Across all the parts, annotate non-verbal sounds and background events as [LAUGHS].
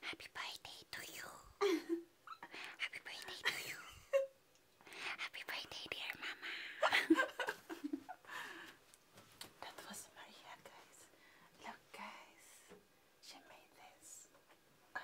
Happy birthday to you. [LAUGHS] Happy birthday to you. [LAUGHS] Happy birthday dear mama. [LAUGHS] that was Maria guys. Look guys. She made this. Uh,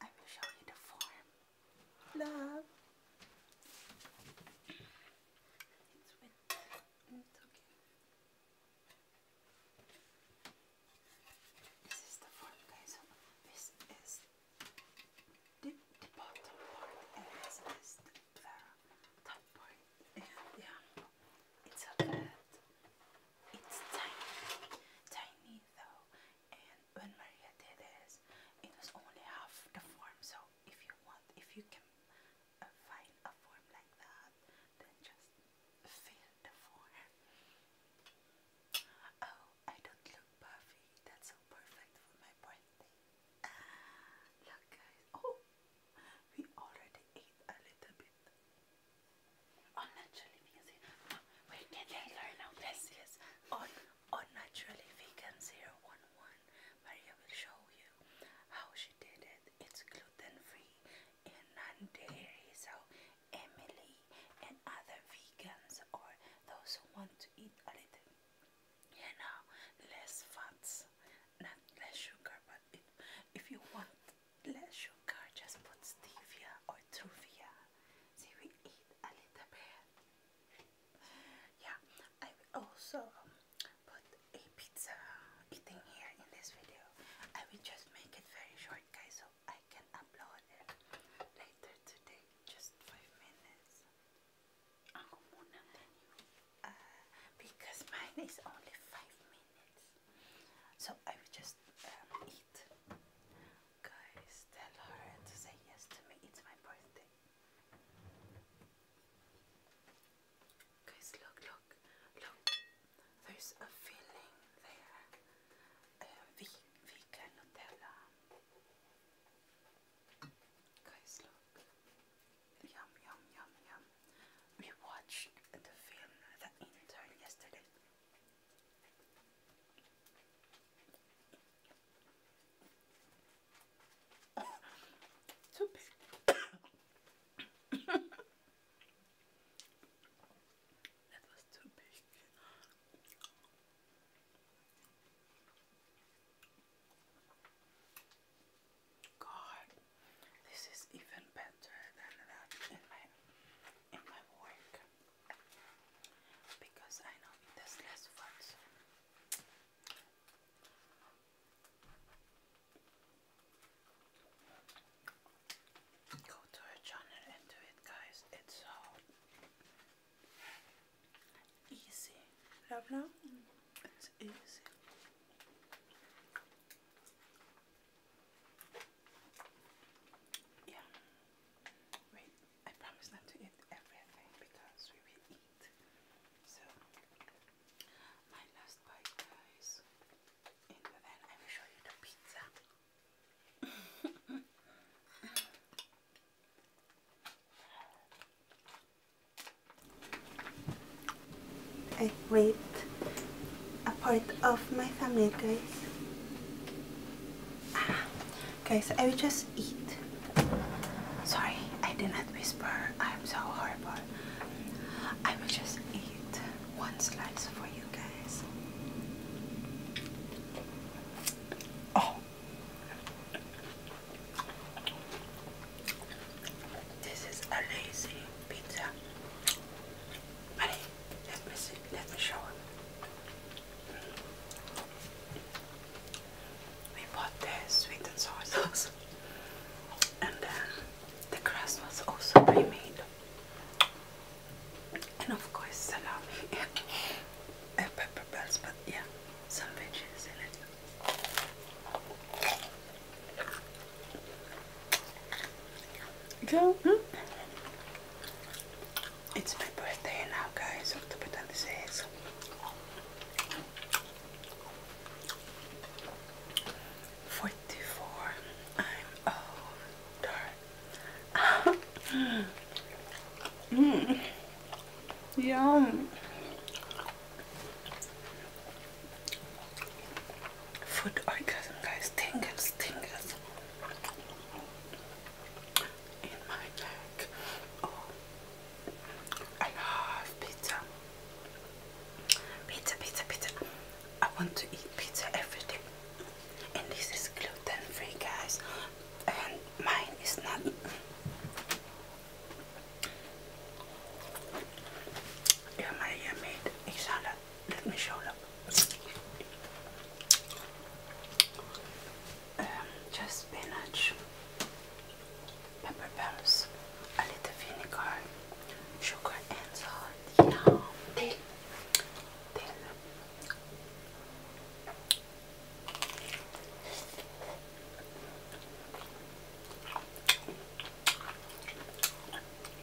I will show you the form. Love. This is the front, guys. this is the, bottom part, and this is the, top part. yeah, it's a bit, it's tiny, tiny though. And when Maria did this, it was only half the form. So if you want, if you can find a form like that, then just fill the form. Oh, I don't look perfect. That's so perfect for my birthday. Ah, look, guys. Oh, we already ate a little bit. On vegan. We can learn now. Yes, yes. On vegan zero one one. Maria will show you how she did it. It's gluten free and non dairy. So, Emily and other vegans or those who want to eat a little, you know, less fats, not less sugar, but it, if you want less sugar, just put stevia or truvia. So we eat a little bit yeah, I will also put a pizza eating here in this video. I will just make it very short, guys, so I can upload it later today. Just five minutes. Ako ah, muna din ah, Because [LAUGHS] mine is only five minutes. So I will just um, eat. Guys, tell her to say yes to me. It's my birthday. Cause look, look, look. There's a feeling there. Uh, we, Uh, vegan tell. Cause look. Yum, yum, yum, yum. We watched the film that Intern yesterday. Too big. [LAUGHS] that was too big. God, this is even better than that in my in my work because I know it has less words. Go to her channel and do it, guys. It's so easy. Blah blah. It's easy. Yeah. Wait. I promise not to eat everything because we will eat. So, my last bite, guys, and then I will show you the pizza. [LAUGHS] I raped a part of my family, guys. Ah, okay, so I will just eat. Sorry, I did not whisper. I'm so horrible. I will just eat one slice for you guys. Oh, this is a lazy pizza. But let me see. Let me show him. We bought the sweet and sour sauce, and then the crust was also pre-made, and of course salami [LAUGHS] and, pepper bells. But yeah, some veggies in it. So, hmm? it's my birthday now, guys, October 26th. Forty-four. I'm older. [LAUGHS] Yum. Food orgasm, guys. Tingles stingers in my neck. Oh, I love pizza. Pizza, pizza, pizza. I want to eat pizza every day. And this is gluten free, guys. And mine is not. Yeah, my made inshallah let me show them. Um, just spinach, pepper pumps, a little vinegar, sugar and salt. Now, then, then.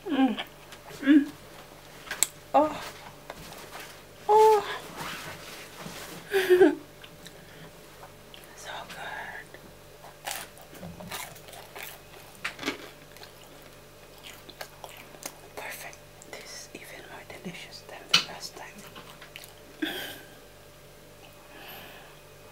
Mm. Mm. Oh. Oh. so good. Perfect. This is even more delicious than the last time.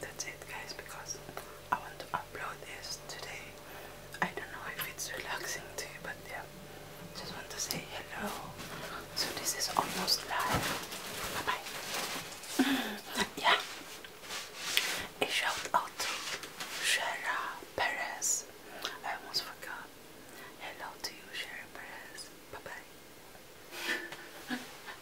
that's it guys because I want to upload this today. I don't know if it's relaxing to you but yeah just want to say hello. So this is almost live. Bye bye. [LAUGHS] yeah. A shout out to Shara Perez. I almost forgot. Hello to you Shara Perez. Bye bye. [LAUGHS]